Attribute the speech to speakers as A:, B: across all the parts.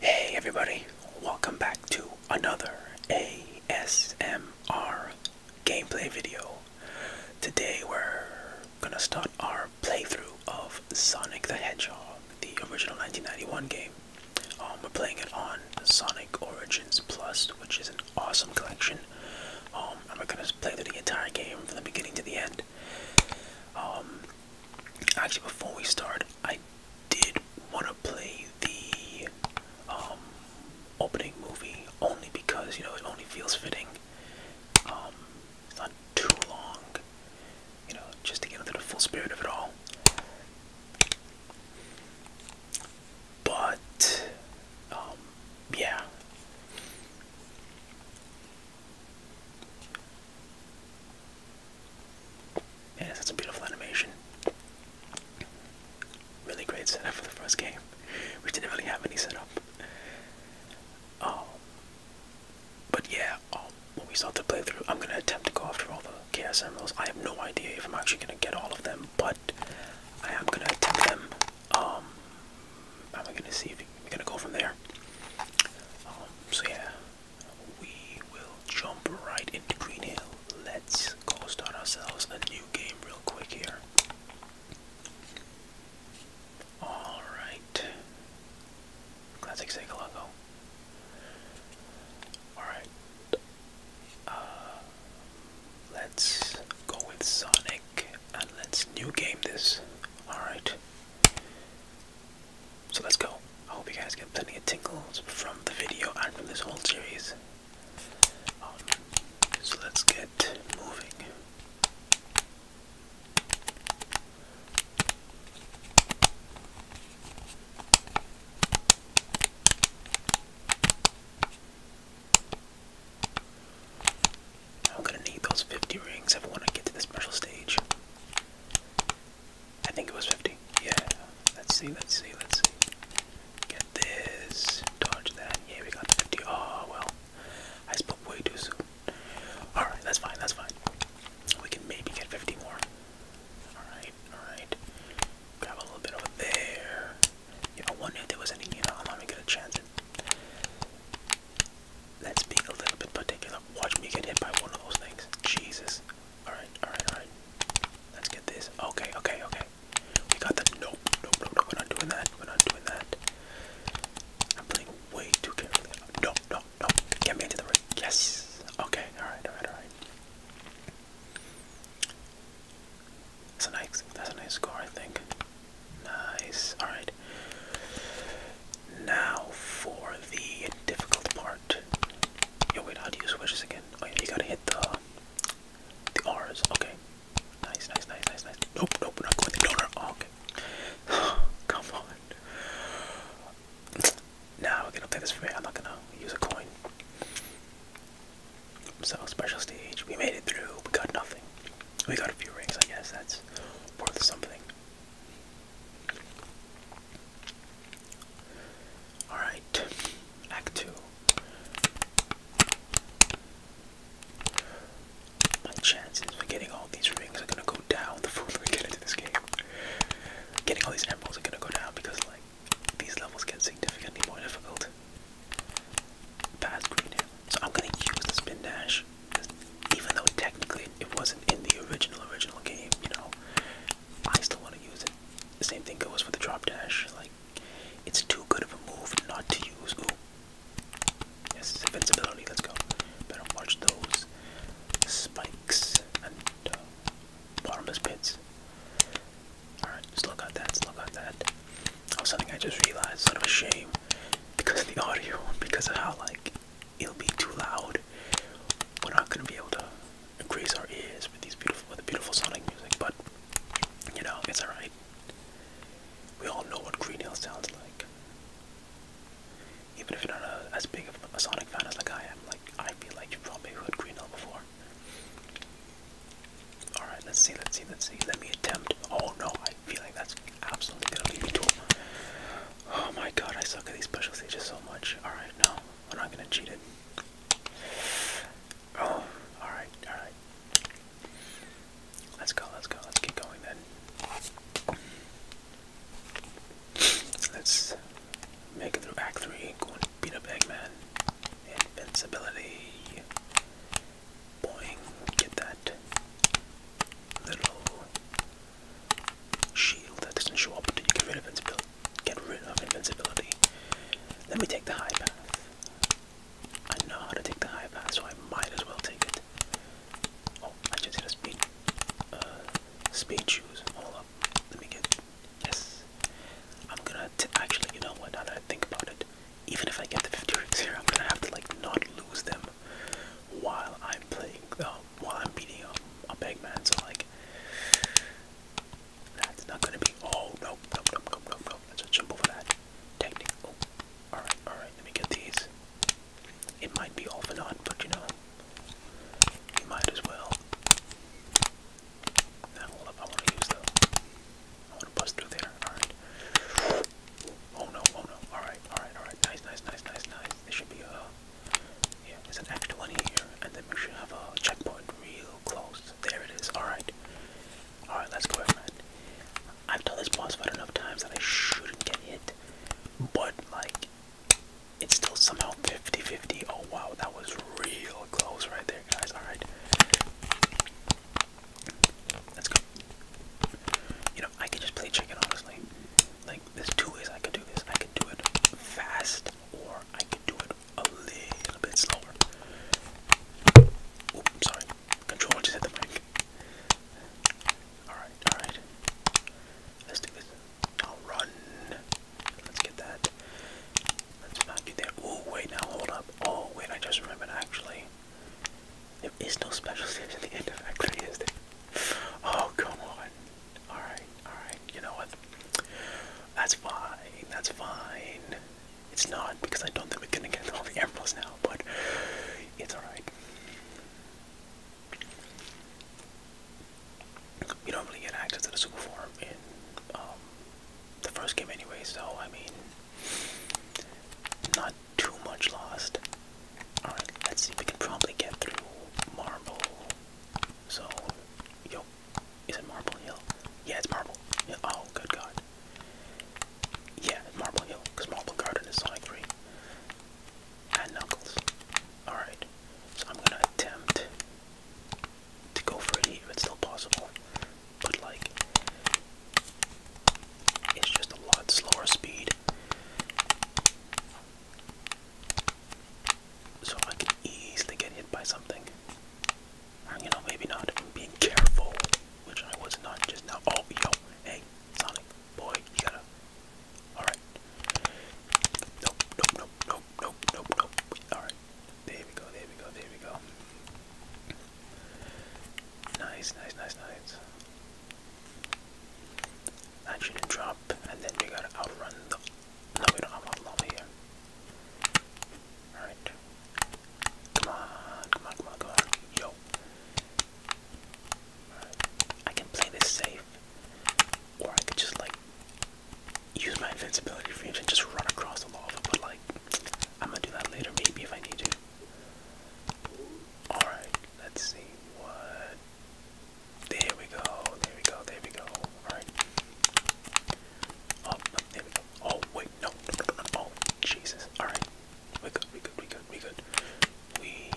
A: Hey everybody, welcome back to another ASMR gameplay video. Today we're gonna start our playthrough of Sonic the Hedgehog, the original 1991 game. Um, we're playing it on Sonic Origins Plus, which is an awesome collection. Um, and we're gonna play through the entire game from the beginning to the end. Um, Actually, before we start, I did want to play the um, opening movie only because you know it only feels fitting. Um, it's not too long, you know, just to get into the full spirit of it all. But um, yeah, Man, that's a beautiful animation. Really great setup for the first game. We didn't really have any setup. Um, but yeah, um, when we start to play through, I'm gonna attempt to go after all the Chaos Emeralds. I have no idea if I'm actually gonna get all of them, but I am gonna attempt them. Um, am I gonna see we're gonna go from there. Um, so yeah, we will jump right into Green Hill. Let's go start ourselves a new game real quick here. All right, classic Sega logo. All right, uh, let's go with Sonic and let's new game this. All right. So let's go. I hope you guys get plenty of tingles from the video and from this whole series. Um, so let's get moving. I'm gonna need those 50 rings if I wanna get to the special stage. I think it was 50. Yeah. Let's see, let's see, let's see. Get this. Dodge that. Yeah, we got 50. Oh, well. I spoke way too soon. Alright, that's fine, that's fine. We can maybe get 50 more. Alright, alright. Grab a little bit over there. You know, I wonder if there was any, you know, let me get a chance. That's being a little bit particular. Watch me get hit by one of those things. Jesus. Alright, alright, alright. Let's get this. Okay, okay, okay. We got the nope, nope, nope, We're not doing that. We're not doing that. I'm playing way too carefully. No, no, no. Get me into the ring. Yes. Okay, alright, alright, alright. That's a nice that's a nice score I think. Nice. Alright. Now for the difficult part. Yo, wait, how do you switch this again? Oh, yeah, you gotta hit the the R's. Okay. Nice, nice, nice, nice, nice. Nope, nope, not going the donor. Oh, okay. Come on. Nah, we're gonna play this for me. I'm not gonna use a coin. So, special stage. We made it through. We got nothing. We got a few rings, I guess. That's worth something. Alright, Act 2. My chances for getting all these rings are gonna go down the further we get into this game. Getting all these emeralds are gonna go down because, like, these levels get significantly more difficult. Past green So I'm gonna use the spin dash even though technically it wasn't in the original original game, you know, I still want to use it. The same thing goes for the drop dash. Like, it's too good of a move not to use. Ooh, yes, invincibility. Let's go. Better watch those spikes and uh, bottomless pits. Alright, still got that, still got that. Oh, something I just realized, sort of a shame because of the audio, because of how, like, it'll be too loud. We're not gonna be able to graze our ears with these beautiful, with the beautiful sonic music. But you know, it's alright. We all know what Green Hill sounds like. Even if you're not as big of a Sonic fan as like I am, like I feel like you've probably heard Green Hill before. Alright, let's see, let's see, let's see. Let me attempt. Oh no, I feel like that's absolutely going Oh my god, I suck at these special stages so much. Alright, no, I'm not gonna cheat it. Oh, alright, alright. Let's go, let's go, let's keep going then. Let's make it through Act 3, go and beat up Invincibility. Boing, get that little shield that doesn't show up until you get rid of invincibility. Get rid of invincibility. Let me take the high path. I know how to take the high path, so I might as well take it. Oh, I just hit a speed, uh, speed shoes. Hold up, let me get. Yes, I'm gonna actually. You know what? Now that I think about it, even if I get the 50 rings here, I'm gonna have to like not lose them up while I'm playing, uh, while I'm beating up a big man. So like, that's not gonna be. Oh no, no, no, no, no, no. Let's just jump over that. Technique. Oh, all right, all right. Let me get these. It might be off and on, but you know, you might as well. Now hold up. I want to use the. I want to bust through there. All right. Oh no, oh no. Alright, alright, alright. Nice, nice, nice, nice, nice. There should be a. Yeah, there's an extra one here, and then we should have a checkpoint real close. There it is, alright. Alright, let's go, man. I've done this boss fight enough times that I shouldn't get hit, but like, it's still somehow 50 50. Oh wow, that was real close right there, guys. Alright. Let's go. You I can just play chicken, honestly. Like, there's two ways I can do this. I can do it fast, or I can do it a little bit slower. Oop, sorry. Controller just hit the mic. Alright, alright. Let's do this. I'll run. Let's get that. Let's not get there. Oh, wait, now hold up. Oh, wait, I just remembered actually. There is no special saves at the end of X3, is there? Oh, come on. Alright, alright. You know what? That's fine. That's fine. It's not because I don't think we're gonna get all the emeralds now, but it's alright. You don't really get access to the super form in um, the first game anyway, so I mean, not too much lost. Alright, let's see. We can probably get through Marble. So, yo, is it Marble Hill? Yeah, it's Marble. Hill. Oh, good God. Yeah, Marble Hill, because Marble Garden is Sonic 3. And Knuckles. Alright, so I'm gonna attempt to go for it if it's still possible. But, like, it's just a lot slower speed. So I can easily get hit by something. you know, maybe not. i being careful, which I was not just now. Oh, yo, hey, Sonic, boy, you gotta. Alright. Nope, nope, nope, nope, nope, nope, nope. Alright. There we go, there we go, there we go. Nice, nice, nice, nice. Action and drop, and then you gotta outrun the. No, we don't have outrun here. Alright. Come on, come on, come on, come on. Yo. I can play this safe, or I could just like use my invincibility frames and just run across the lava, but like, I'm gonna do that later maybe if I need to. Alright, let's see what. There we go, there we go, there we go. Alright. Oh, there we go. Oh, wait, no, no, no, no. Oh, Jesus. Alright. We good, we good, we good, we good. We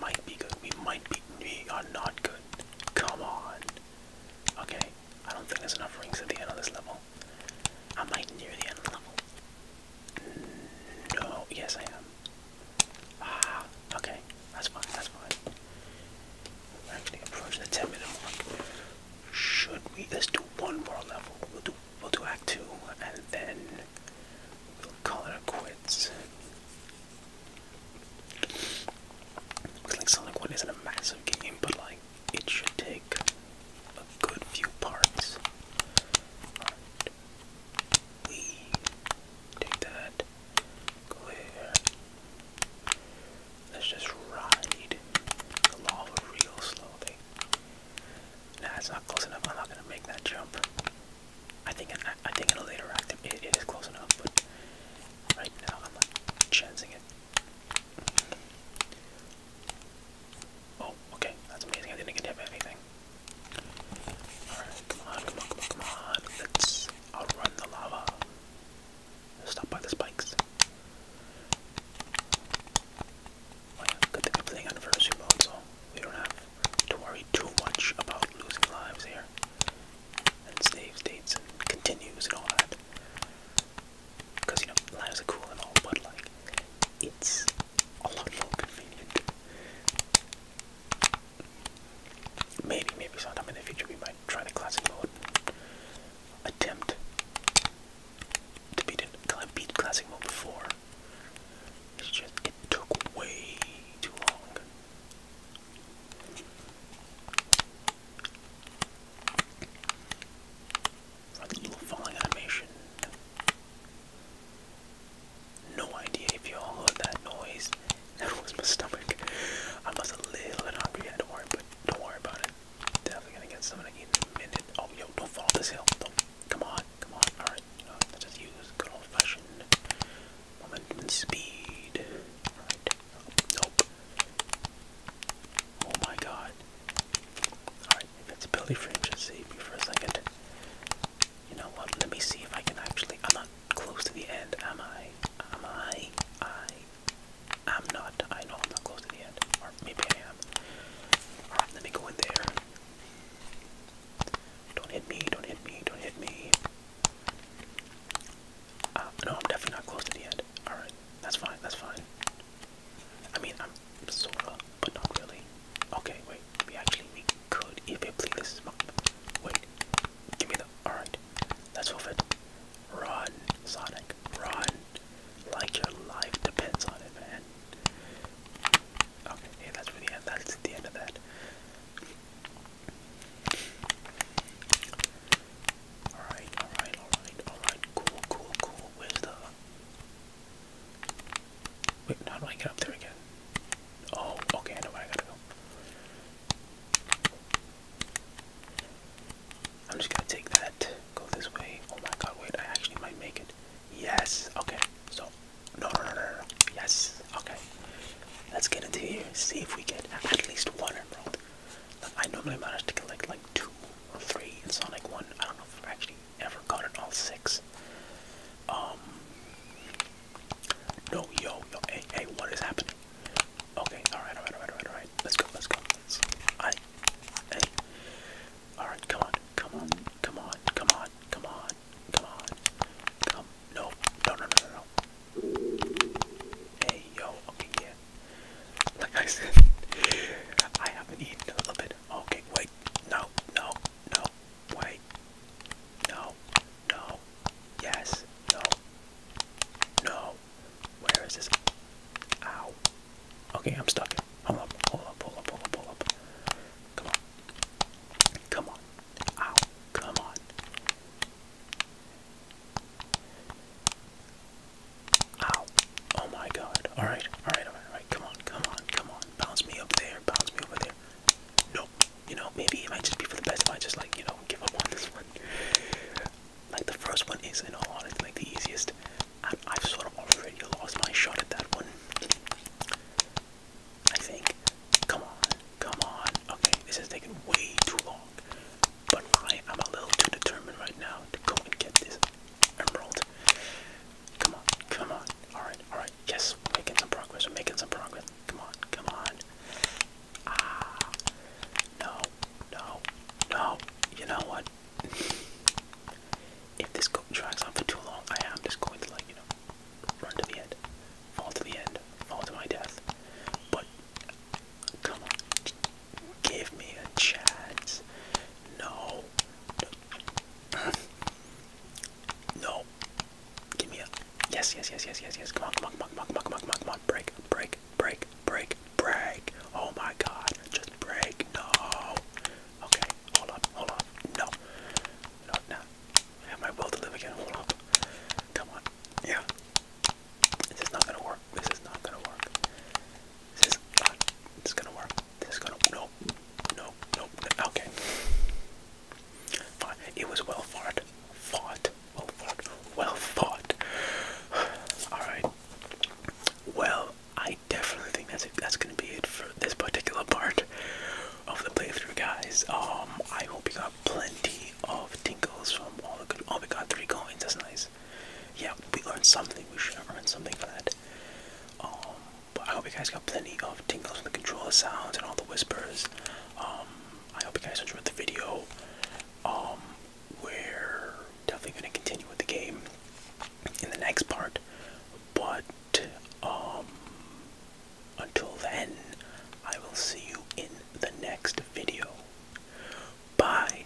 A: might be good. We might be. We are not good. Come on. Okay, I don't think there's enough rings at the end of this level. I might near the end of the level. No, oh, yes I am. Ah, okay, that's fine, that's fine. We're actually approaching the 10 minute mark. Should we, let's do one more level. We'll do, we'll do act two and then we'll call it quits. Looks like Sonic 1 isn't a massive game, but like, it should take a good few parts. We take that. Go Let's just ride the lava real slowly. Nah, it's not close enough. I'm not gonna make that jump. I think in, I think in a later act it is close enough, but right now I'm not chancing it. Oh, okay, that's amazing. I didn't get hit by anything. Alright, come on, come on, come on, Let's outrun the lava. Stop by the spikes. good thing I'm playing anniversary mode, so we don't have to worry too much about losing lives here. And save states continues and all that. Because, you know, lives are cool and all, but, like, it's a lot more convenient. Maybe, maybe sometime in the future we might try the classic mode. Attempt to beat it. beat classic mode before. It's just took way too long. little falling animation. No idea if you all heard that noise. That was my stomach. I was a little bit hungry. Yeah, don't worry, but don't worry about it. Definitely gonna get something to eat in a minute. Oh, yo, don't fall off this hill. Don't. Come on, come on. All right, you know, just use good old-fashioned momentum and speed. Right. Oh, nope. Oh my God. Alright, if it's ability fringe, just save me for a second. You know what? Let me see if I can actually. I'm not close to the end, am I? Am I? I. I'm not. I know I'm not close to the end. Or maybe I am. Alright, let me go in there. Don't hit me, don't hit me, don't hit me. Uh, no, I'm definitely not close to the end. Alright, that's fine, that's fine. I mean, I'm sorta, but not really. Okay, wait. We actually we could if it pleases my. Wait, give me the. All That's let's Run, Sonic, run! Like your life depends on it, man. Okay, yeah, that's for the end. That's the end of that. Alright, alright, alright, alright, cool, cool, cool. Where's the Wait, how do I get up there again? Oh, okay, I know where I gotta go. I'm just gonna take that, go this way. Oh my god, wait, I actually might make it. Yes, okay, so, no, no, no, no, yes, okay. Let's get into here, see if we get at least one emerald. I normally manage to collect like two or three in Sonic 1. I don't know if I am actually ever gotten all six. Um. No, yo, yo, hey, hey, what is happening? Okay, alright, alright, alright, alright, alright. Let's go, let's go. Let's, I, hey. Alright, come on, come on, come on, come on, come on, come on. Come, no, no, no, no, no. Hey, yo, okay, yeah. Like I said, I haven't eaten in a little bit. Okay, wait. No, no, no, wait. No, no, yes, no, no. Where is this? Ow. Okay, I'm stuck. Hold up, hold up, hold up, hold up, hold up. Come on. Come on. Ow, come on. Ow. Oh my god. Alright, alright, alright, come on, come on, come on. Bounce me up there, bounce me over there. Nope. You know, maybe it might just be for the best if I just like, you know, give up on this one. Like the first one is in all honesty like the easiest. I have sort of already lost my shot at that one. I think. Come on, come on. Okay, this is taking way too long. But I am a little too determined right now to go and get this emerald. Come on, come on. Alright, alright. Yes, we're making some progress. We're making some progress. Come on, come on. Ah. No, no, no. You know what? if this drags on for too long, I am just going to, like, you know, run to the end. Fall to the end. Fall to my death. But, come on. Give me a chance. no no. Give me a yes, yes, yes, yes, yes, yes. Come on, come on, come on, come on, come on, come on, come on. Break, break, break, break, break. Oh my God! Just break. No. Okay. Hold up. Hold up. No. No. No. I have my will to live again. Hold up. Come on. Yeah. This is not gonna work. This is not gonna work. This is not. This is gonna work. This gonna no, no, no, Okay, fine. It was well fought, fought, well fought, well fought. All right. Well, I definitely think that's That's gonna be it for this particular part of the playthrough, guys. Um, I hope you got plenty of tinkles from all the good. Oh, we got three coins. That's nice. Yeah, we learned something. We should have learned something for that. Um, but I hope you guys got plenty of tingles from the controller sounds and all the whispers. Um, I hope you guys enjoyed the video. Um, we're definitely gonna continue with the game in the next part, but until then, I will see you in the next video. Bye.